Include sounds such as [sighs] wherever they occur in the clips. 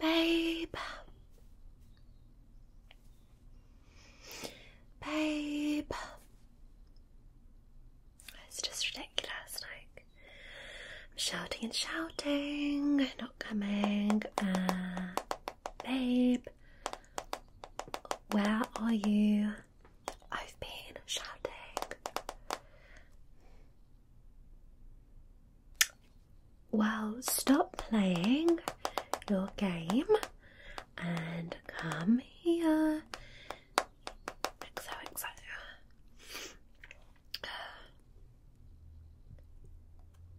Babe. Babe. It's just ridiculous. Like, I'm shouting and shouting, not coming. Uh, babe, where are you? I've been shouting. Well, stop playing your game and come here.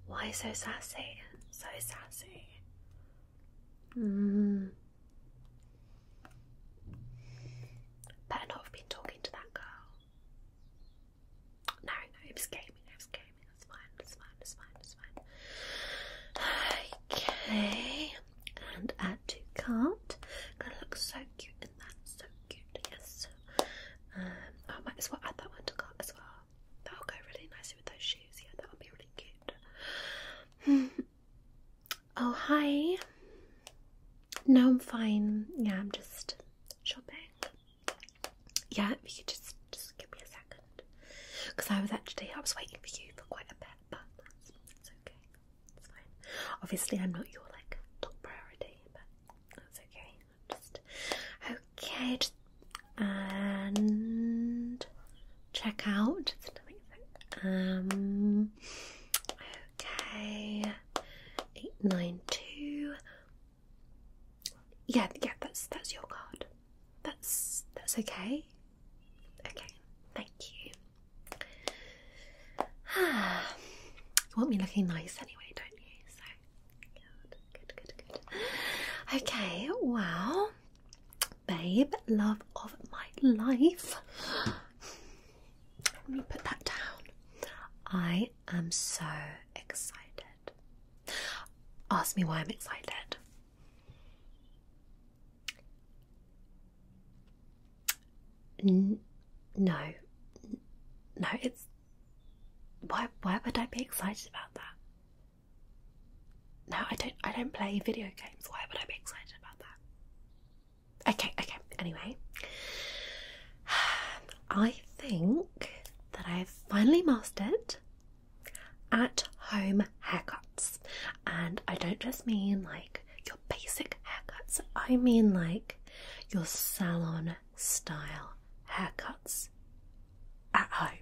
Why so sassy? So sassy. Hmm. Better not have been talking to that girl. No, no, it was gaming, it was gaming. That's fine, that's fine, that's fine, that's fine. Okay, and add to cart. Gonna look so cute in that, so cute, yes. Um, I might as well add that one to cart as well. That'll go really nicely with those shoes, yeah, that'll be really cute. [laughs] Oh, hi. No, I'm fine. Yeah, I'm just shopping. Yeah, if you just, just give me a second. Because I was actually, I was waiting for you for quite a bit, but that's, okay. It's fine. Obviously, I'm not your, like, top priority, but that's okay. I'm just, okay, and check out. um, okay eight nine two. Yeah, yeah, that's that's your card. That's that's okay. Okay, thank you. Ah, [sighs] you want me looking nice anyway, don't you? So good, good, good, good. Okay, well, babe, love of my life. [gasps] [gasps] [gasps] Let me put that down. I am so excited. Ask me why I'm excited. no, no, it's why why would I be excited about that? No, I don't I don't play video games. Why would I be excited about that? Okay, okay. Anyway, [sighs] I think that I've finally mastered at home haircuts. And I don't just mean like your basic haircuts, I mean like your salon style haircuts at home.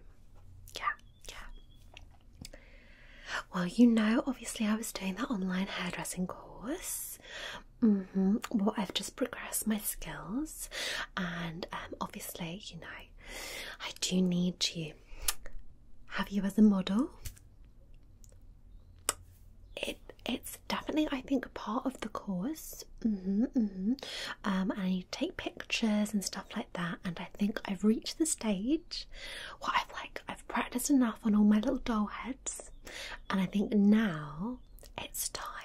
Yeah, yeah. Well, you know, obviously, I was doing that online hairdressing course. Mm-hmm. Well, I've just progressed my skills, and um, obviously, you know, I do need you. Have you as a model? It it's definitely, I think, part of the course. Mm-hmm, mm-hmm. Um, and you take pictures and stuff like that. And I think I've reached the stage where I've like I've practiced enough on all my little doll heads and I think now it's time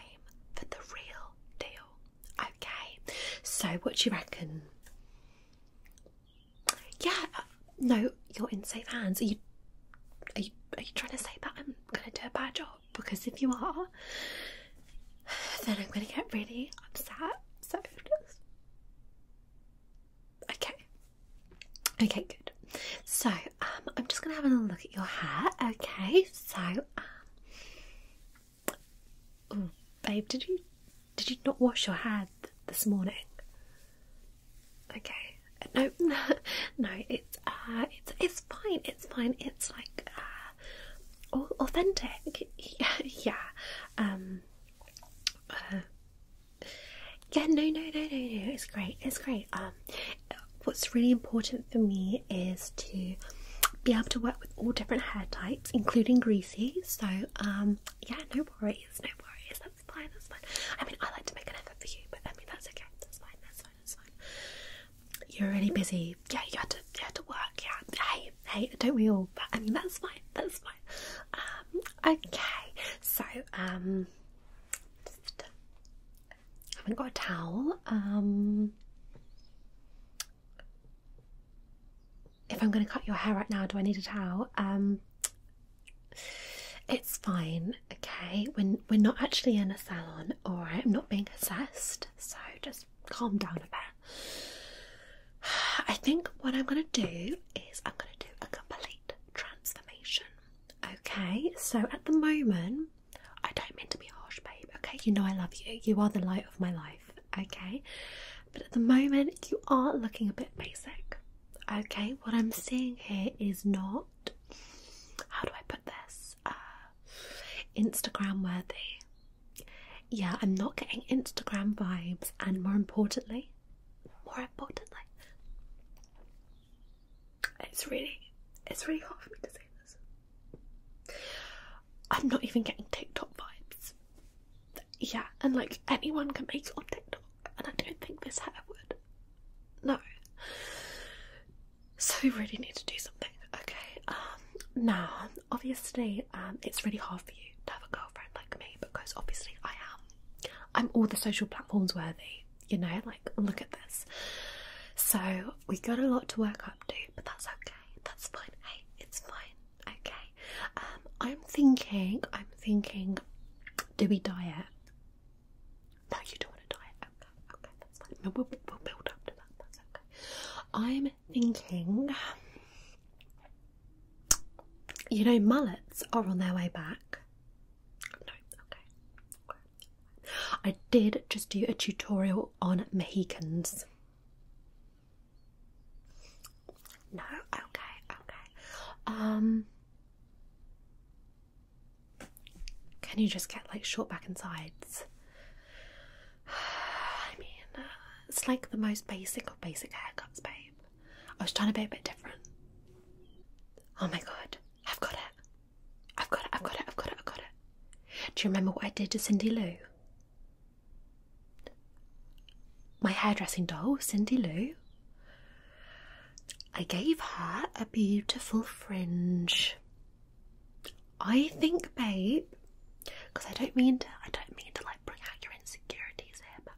for the real deal. Okay, so what do you reckon? Yeah, uh, no, you're in safe hands. Are you, are you, are you trying to say that I'm going to do a bad job? Because if you are, then I'm going to get really upset. So, okay, Okay, good. So, um, I'm just gonna have a look at your hair. Okay, so, oh, babe, did you did you not wash your hair this morning? Okay, no, no, [laughs] no. It's uh, it's it's fine. It's fine. It's like uh, authentic. [laughs] yeah, um, uh, yeah, no, no, no, no, no. It's great. It's great. Um, what's really important for me is to be able to work with all different hair types, including greasy. So, um, yeah, no worries, no worries. That's fine. That's fine. I mean, I like to make an effort for you, but I mean, that's okay. That's fine. That's fine. That's fine. You're really busy. Yeah, you had to, you had to work. Yeah. Hey, hey, don't we all? But, I mean, that's fine. That's fine. Um, okay, so um, I haven't got a towel. Um, if I'm going to cut your hair right now, do I need a towel? Um, it's fine. Okay, we're, we're not actually in a salon, or right. I'm not being assessed, so just calm down a bit. [sighs] I think what I'm gonna do is I'm gonna do a couple transformation. Okay, so at the moment, I don't mean to be harsh, babe. Okay, you know I love you. You are the light of my life. Okay, but at the moment, you are looking a bit basic. Okay, what I'm seeing here is not how do I put this? Uh, Instagram worthy. Yeah, I'm not getting Instagram vibes, and more importantly, more importantly, it's really, it's really hard for me to say this. I'm not even getting TikTok vibes. Yeah, and like anyone can make it on TikTok, and I don't think this hair would. No. So we really need to do something, okay? Um, now, obviously, um, it's really hard for you to have a girlfriend like me because obviously I am I'm all the social platforms worthy, you know, like look at this. So we got a lot to work up to, but that's okay. That's fine. Hey, it's fine. Okay. Um, I'm thinking, I'm thinking, do we diet? No, you don't want to diet. Okay, okay, that's fine. No, we'll build up to that. That's okay. I'm thinking you know, mullets are on their way back. No, okay. I did just do a tutorial on Mohicans. No, okay, okay. Um, can you just get like short back and sides? [sighs] I mean, uh, it's like the most basic of basic haircuts, babe. I was trying to be a bit different. Oh my god, I've got it. I've got it, I've got it, I've got it, I've got it. Do you remember what I did to Cindy Lou? My hairdressing doll, Cindy Lou. I gave her a beautiful fringe. I think, babe, because I don't mean to, I don't mean to, like, bring out your insecurities here, but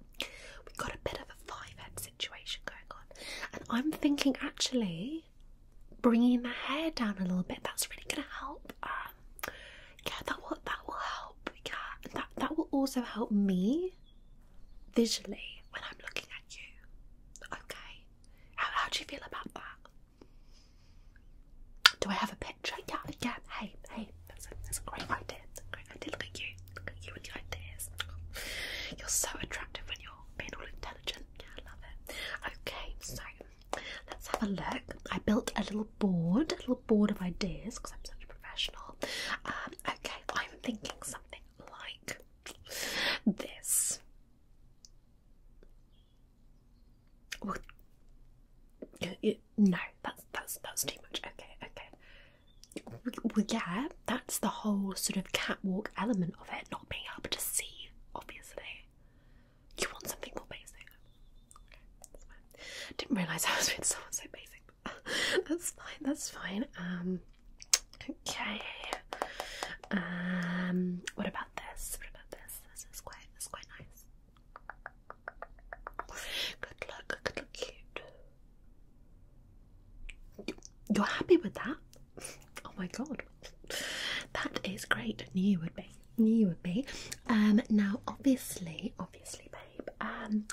we've got a bit of a 5 head situation going on. And I'm thinking actually bringing the hair down a little bit, that's really going to help. Um, yeah, that will, that will help. Yeah, and that, that will also help me visually when I'm looking at you. Okay, how, do you feel about that? Do I have a picture? Yeah, yeah. Hey, hey, that's a, great idea. That's a great idea. Look at you. Look at you with your ideas. [laughs] You're so attractive when you're being all intelligent. I love it. Okay, so let's have a look. I built a little board, a little board of ideas because I'm such a professional. Um, okay, I'm thinking something like this. no, that's that's that's too much. Okay, okay well, yeah, that's the whole sort of catwalk element of it, not being able to see, obviously. You want something more basic. Okay, that's fine. Didn't realise I was being someone so basic. [laughs] that's fine, that's fine. Um, okay. Um, what about this? What about this? This is quite, this is quite nice. Good luck, good luck, cute. You're happy with that? Oh my god. That is great. New would be. new would be. Um now obviously, obviously, babe, um,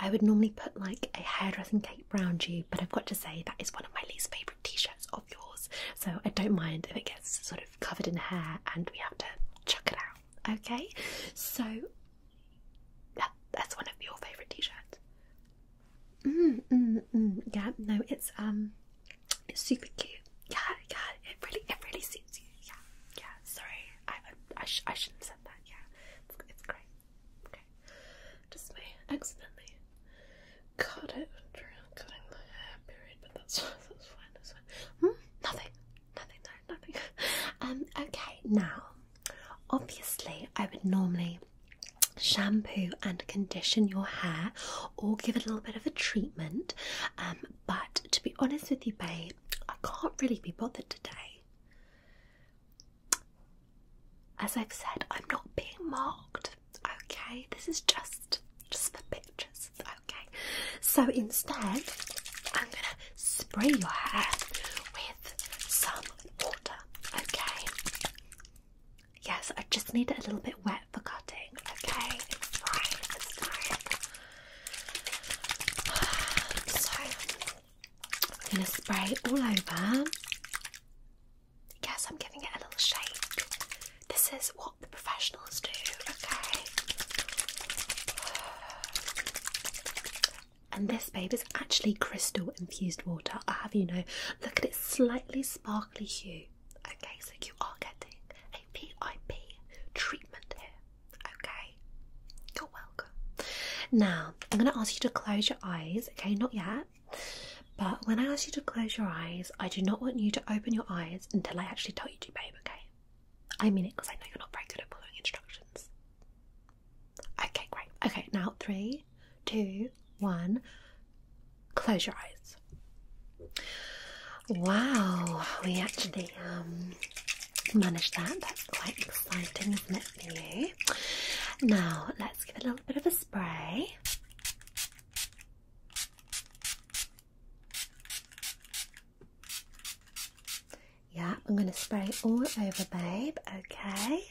I would normally put like a hairdressing cape round you, but I've got to say that is one of my least favourite t-shirts of yours. So I don't mind if it gets sort of covered in hair and we have to chuck it out. Okay? So that, that's one of your favourite t-shirts. Mm, mm, mm. Yeah, no, it's um, it's super cute. Yeah, yeah, it really, it really suits you. Yeah, yeah. Sorry, I, I, I, I shouldn't have said that. Yeah, it's, great. Okay, just me accidentally cut it during cutting my hair period, but that's [laughs] that's fine. That's fine. Hmm? Nothing nothing, no, nothing. [laughs] Um, okay, now obviously, I would normally shampoo and condition your hair or give it a little bit of a treatment. Um, but to be honest with you, babe, I can't really be bothered today. As I've said, I'm not being mocked. Okay, this is just just for pictures. Okay, so instead, I'm gonna spray your hair with some water, okay? Yes, I just need it a little bit wet for cutting, okay? It's fine, it's fine. I'm gonna spray all over. Yes, I'm giving it a little shake. This is what the professionals do, okay? And this, babe, is actually crystal infused water. I have you know, look at its slightly sparkly hue. Okay, so you are getting a PIP treatment here. Okay, you're welcome. Now, I'm going to ask you to close your eyes. Okay, not yet. But when I ask you to close your eyes, I do not want you to open your eyes until I actually tell you to, babe, okay? I mean it because I know you're not very good at following instructions. Okay, great. Okay, now three, two, one. Close your eyes. Wow, we actually um managed that. That's quite exciting, isn't it for Now let's give it a little bit of a spray. Yeah, I'm going to spray it all over, babe. Okay.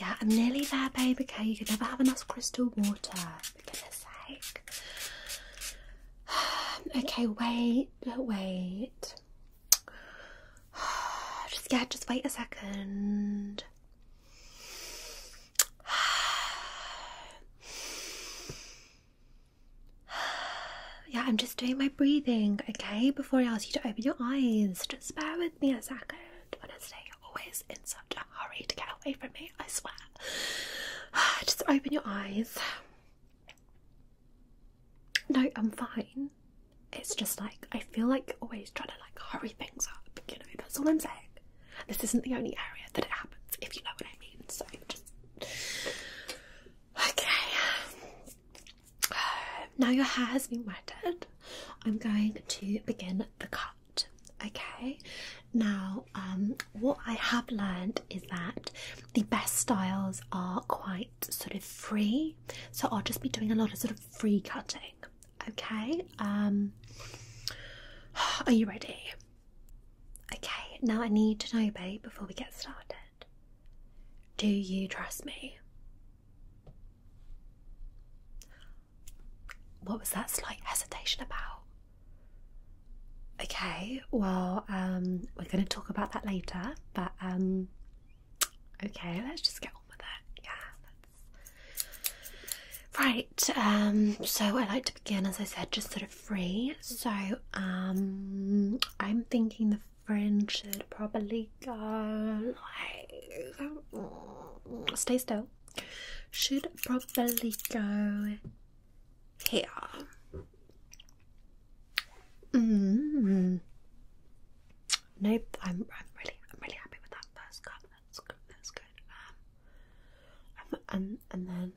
Yeah, I'm nearly there, babe. Okay, you can never have enough crystal water, for goodness sake. [sighs] Okay, wait wait, wait. [sighs] Just yeah, just wait a second. [sighs] Yeah, I'm just doing my breathing, okay? Before I ask you to open your eyes, just bear with me a second. Honestly, you're always in such a hurry to get away from me, I swear. [sighs] Just open your eyes. No, I'm fine. It's just like I feel like always trying to like hurry things up, you know, that's all I'm saying. This isn't the only area that it happens, if you know what I mean. So just Okay. [sighs] now your hair has been wetted. I'm going to begin the cut. Okay. Now, um what I have learned is that the best styles are quite sort of free, so I'll just be doing a lot of sort of free cutting. Okay, um, are you ready? Okay, now I need to know, babe, before we get started. Do you trust me? What was that slight hesitation about? Okay, well, um, we're going to talk about that later, but um, okay, let's just get on with it. Yeah, right. Um, so I like to begin, as I said, just sort of free. So I'm thinking the friend should probably go like stay still. Should probably go yeah. Mm. Mm-hmm. I'm, I'm really, I'm really happy with that first cut. That's good. That's good. Um, and and then.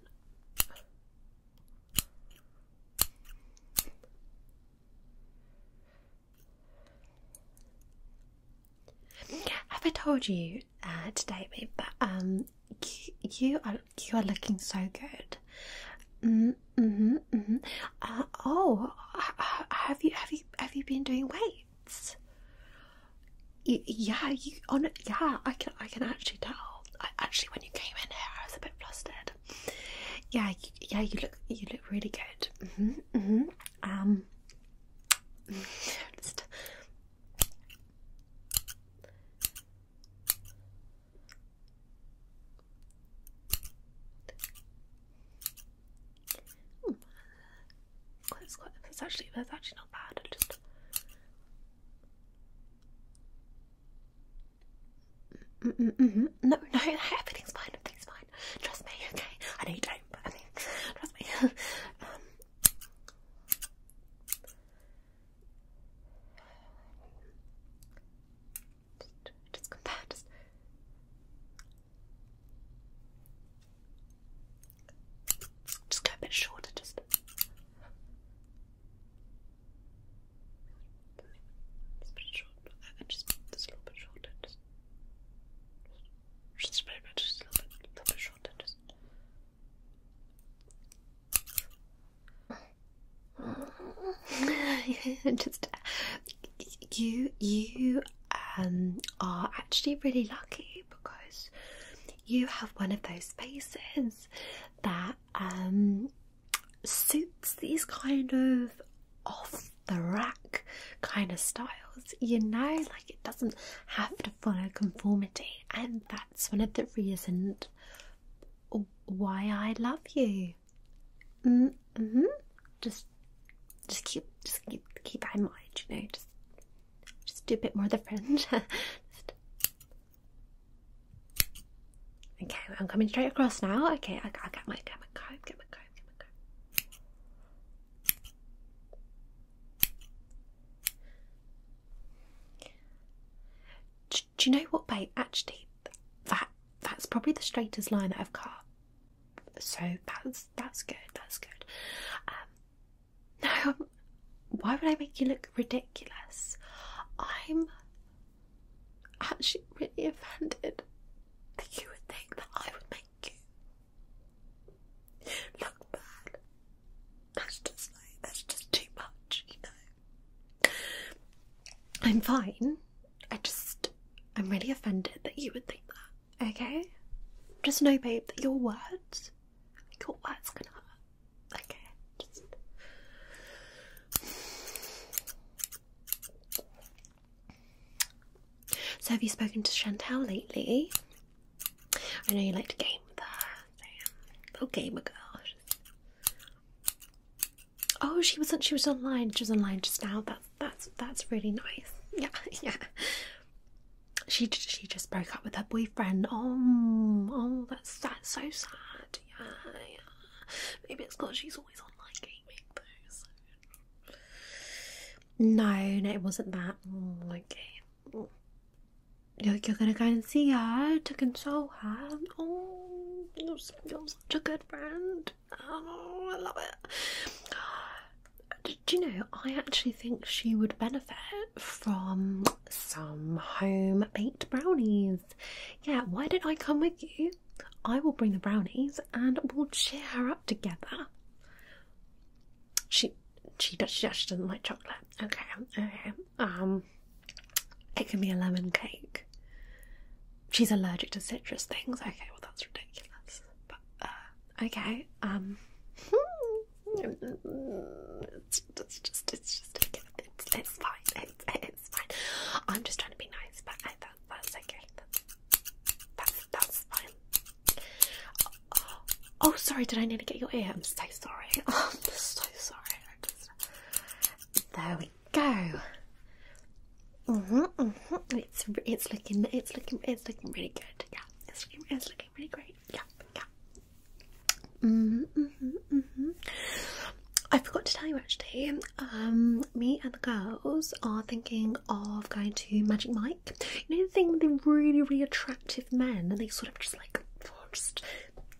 Have I told you uh, today, But um, you are you are looking so good. Mm hmm. -hmm. oh, have you have you have you been doing weights? yeah, you on yeah. I can I can actually tell. I, actually, when you came in here, I was a bit flustered. Yeah, yeah. You look you look really good. hmm. hmm. Um. It's actually that's actually not bad. just mm, mm, mm, no, no, [laughs] everything's fine. Everything's fine. Trust me, okay? I know you don't, but [laughs] trust me. [laughs] Um, just, go there. Just. go a bit shorter, just. a little bit shorter, just. Just a just a little bit, little bit shorter, just. [laughs] Just you, you um, are actually really lucky because you have one of those faces that um, suits these kind of off the rack kind of styles. You know, like it doesn't have to follow conformity, and that that's one of the reasons why I love you. Mm hmm. Just, just keep, just keep, keep that in mind. You know, just, just do a bit more of the French. [laughs] Okay, I'm coming straight across now. Okay, I, I'll get my, get my comb, get my comb, get my comb. Do, you know what, babe? Actually, that that's probably the straightest line that I've cut. So that's that's good. That's good. Um, [laughs] no, why would I make you look ridiculous? I'm actually really offended that you would think that I would make you look bad that's just like, that's just too much, you know. I'm fine. I just, I'm really offended that you would think that, okay? Just know, babe, that your words, your words gonna hurt, okay? Just... So, have you spoken to Chantal lately? I know you like to game with her. So, little gamer girl. Oh, she wasn't. She was online. She was online just now. That's that's that's really nice. [laughs] Yeah, yeah. She she just broke up with her boyfriend. Oh, oh, that's that's so sad. Yeah, yeah. Maybe it's because she's always online gaming No, no, it wasn't that. Mm, okay you're, gonna go and see her to console her. Oh, you're, such a good friend. I love it. Do you know? I actually think she would benefit from some home baked brownies. Yeah, why did not I come with you? I will bring the brownies and we'll cheer her up together she she does she, does, she doesn't like chocolate. Okay, okay. Um, it can be a lemon cake. She's allergic to citrus things. Okay, well that's ridiculous. But uh, okay. Um, it's, it's just it's just it's, it's fine. It's, it's fine. I'm just trying to be nice, but I, that, that's okay. that's that's fine. Oh, sorry, did I need to get your ear? I'm so sorry. [laughs] I'm so sorry. There we go. -hmm, -hmm. It's it's looking it's looking it's looking really good. Yeah, it's looking it's looking really great. Yeah, yeah. -hmm, -hmm, -hmm. I forgot to tell you actually. Um, me and the girls are thinking of going to Magic Mike you know the thing with the really really attractive men and they sort of just like just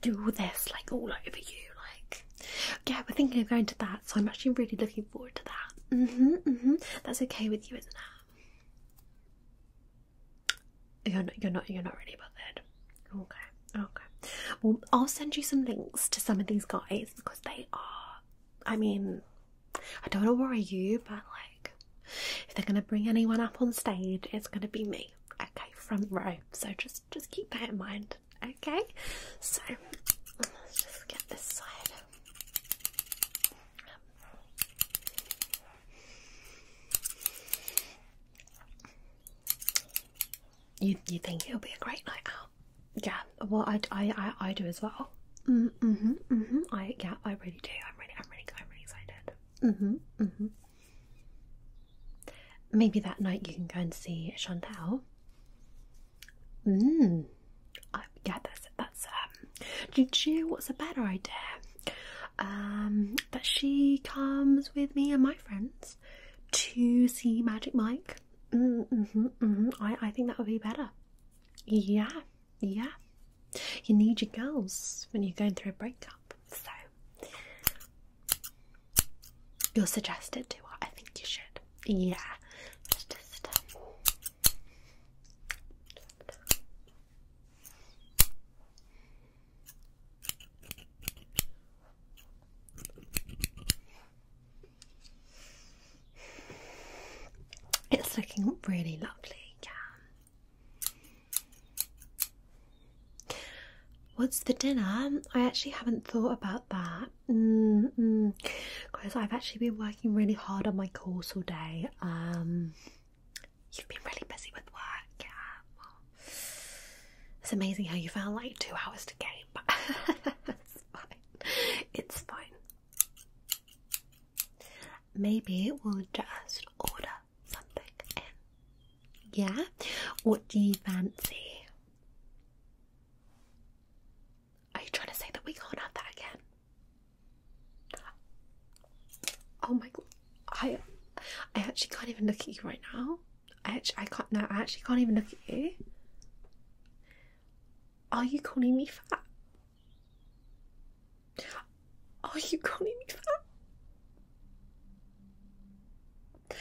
do this like all over you like yeah we're thinking of going to that so I'm actually really looking forward to that mm-hmm, mm-hmm. that's okay with you isn't it you're not you're not you're not really bothered okay okay well I'll send you some links to some of these guys because they are I mean I don't know where are you but like if they're gonna bring anyone up on stage, it's gonna be me. Okay, front row. So just just keep that in mind. Okay, so let's just get this side. You you think it'll be a great night out? Yeah. Well, I I I, do as well. Mm, mhm. Mhm. I yeah. I really do. I'm really I'm really I'm really excited. Mm-hmm. Mm-hmm. Maybe that night you can go and see Chantal. Mmm. Yeah, that. that's um. Do you what's a better idea? Um, that she comes with me and my friends to see Magic Mike. Mm, mm-hmm. Mm-hmm. I I think that would be better. Yeah. Yeah. You need your girls when you're going through a breakup. So you'll suggest it to I think you should. Yeah. Um, it's looking really lovely, yeah. What's for dinner? I actually haven't thought about that because I've actually been working really hard on my course all day. Um, you've been really busy with work. it's amazing how you found like two hours to game, but [laughs] It's fine. Maybe we'll just order something in. Yeah? What do you fancy? Are you trying to say that we can't have that again? Oh my god. I I actually can't even look at you right now. I actually can't no, I actually can't even look at you. Are you calling me fat? Are you calling me fat?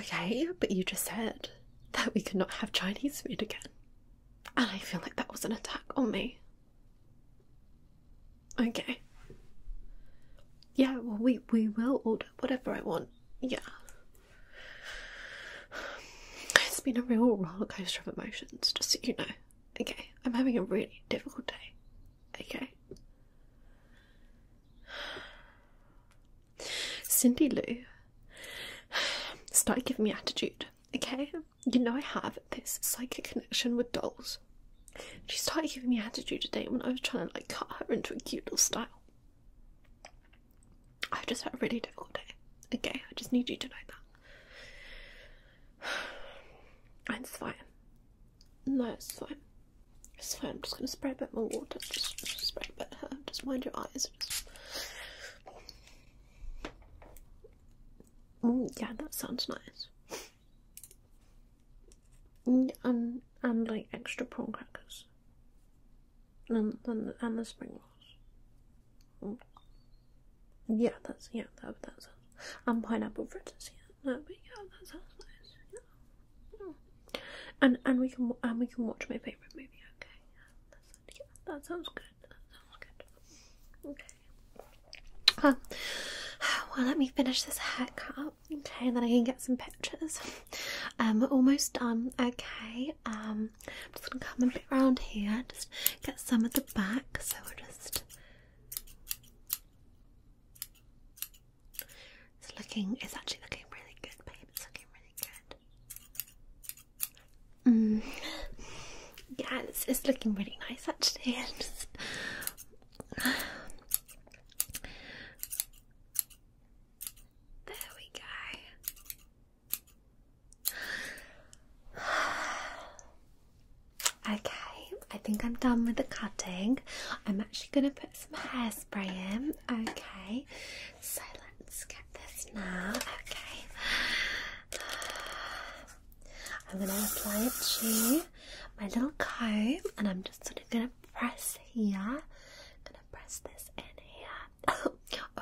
Okay, but you just said that we could not have Chinese food again. And I feel like that was an attack on me. Okay. Yeah, well we we will order whatever I want. Yeah. It's been a real rollercoaster of emotions, just so you know. Okay, I'm having a really difficult day. Okay. Cindy Lou, start giving me attitude, okay? You know I have this psychic connection with dolls. She started giving me attitude today when I was trying to like cut her into a cute little style. I have just had a really difficult day. Okay, I just need you to know that. [sighs] It's fine. No, it's fine. It's fine. I'm just gonna spray a bit more water. Just, spray a bit. Just mind your eyes. Mm, yeah, that sounds nice. Mm, and, and, like extra prawn crackers. And, and, and the spring rolls. Yeah, that's yeah, that that sounds. And pineapple fritters, yeah, no, but yeah, that sounds nice. Yeah. And and we can and we can watch my favorite movie. Okay, yeah, that sounds, good. That sounds good. Okay. Um, well, let me finish this haircut. Okay, and then I can get some pictures. Um, we almost done. Okay. Um. I'm just gonna come a bit around here, just get some of the back. So we are just. It's looking. It's actually looking really good, babe. It's looking really good. Mm. Yeah, it's, looking really nice actually. [laughs] [sighs] there we go. [sighs] Okay, I think I'm done with the cutting. I'm actually going to put some hairspray in. Okay, so let's get this now. Okay, [sighs] I'm going to apply it to my little comb and I'm just sort of going to press here. I'm going to press this in here. [laughs] oh,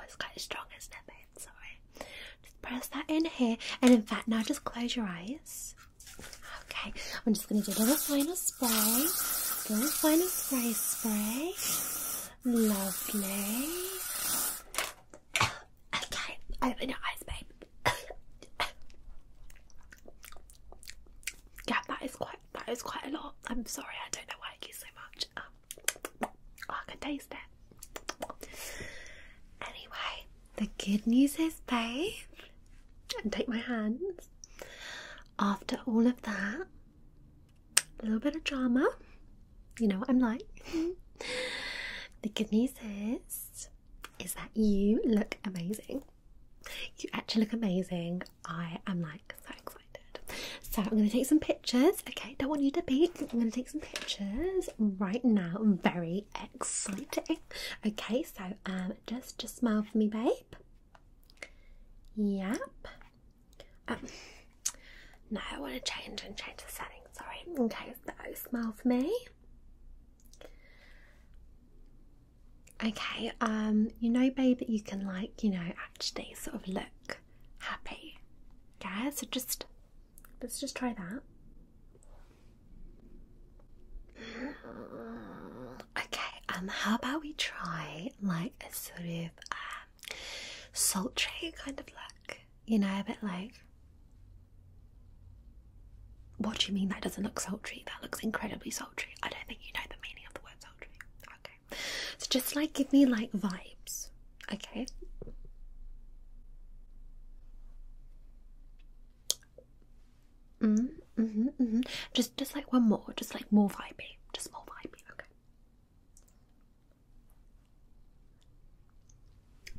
it's quite strong, as not it, it's Just press that in here, and in fact, now just close your eyes. Okay, I'm just going to do a little final spray, little final spray spray. Lovely. Okay, open your eyes, babe. [coughs] yeah, that is quite that is quite a lot. I'm sorry, I don't know why I use so much. Um, oh, I can taste it. Anyway, the good news is, babe, and take my hands. After all of that, a little bit of drama, you know what I'm like. [laughs] the good news is, is that you look amazing. You actually look amazing. I am like so so I'm going to take some pictures. Okay, don't want you to be. I'm going to take some pictures right now. very exciting. Okay, so um, just just smile for me, babe. Yep. Um, now I want to change and change the setting. Sorry. Okay, so smile for me. Okay, um, you know, babe, that you can like, you know, actually sort of look happy. Yeah, so just let's just try that. Mm, okay, um, how about we try like a sort of um, sultry kind of look? You know, a bit like. What do you mean that doesn't look sultry? That looks incredibly sultry. I don't think you know the meaning of the word sultry. Okay. So just like give me like vibes. Okay. Mm, -hmm, -hmm. Just just like one more, just like more vibey. Just more vibey, okay.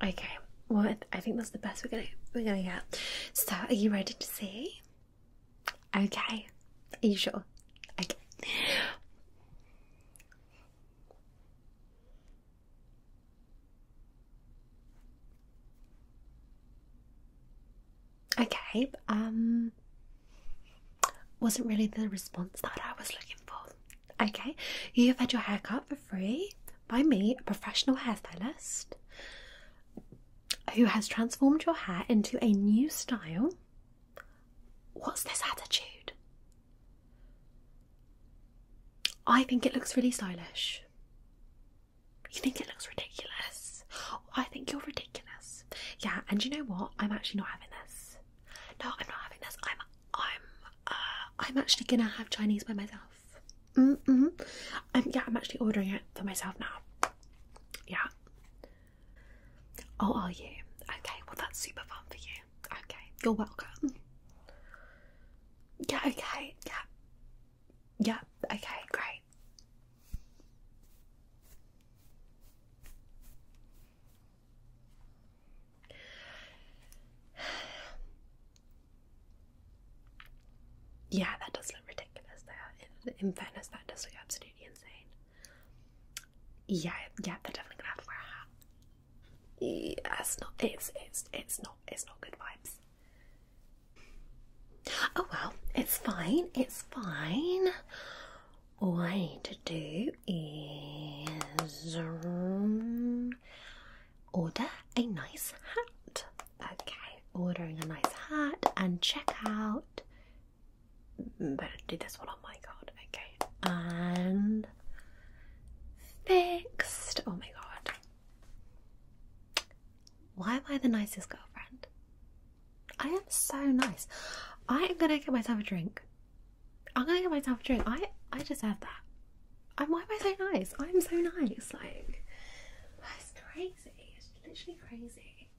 Okay, well I think that's the best we're gonna we're gonna get. So are you ready to see? Okay. Are you sure? Okay. Okay, um, wasn't really the response that I was looking for. Okay, you have had your haircut for free by me, a professional hairstylist who has transformed your hair into a new style What's this attitude? I think it looks really stylish. You think it looks ridiculous? I think you're ridiculous. Yeah, and you know what? I'm actually not having this. No, I'm not having this. I'm I'm uh, I'm actually gonna have Chinese by myself. Mm-hmm. Um, yeah, I'm actually ordering it for myself now. Yeah. Oh, are you? Okay, well, that's super fun for you. Okay, you're welcome. Yeah, okay, yeah. Yeah, okay, great. [sighs] Yeah, that does look ridiculous there. In, in fairness, that does look absolutely yeah, yeah, they're definitely gonna have to wear a hat. Yeah, it's not. It's it's it's not. It's not good vibes. Oh well, it's fine. It's fine. All I need to do is um, order a nice hat. Okay, ordering a nice hat and check out better do this one on oh my god! Okay, and fixed. Oh my god. Why am I the nicest girlfriend? I am so nice. I am gonna get myself a drink. I'm gonna get myself a drink. I I deserve that. I'm why am I so nice? I'm so nice. Like that's crazy. It's literally crazy.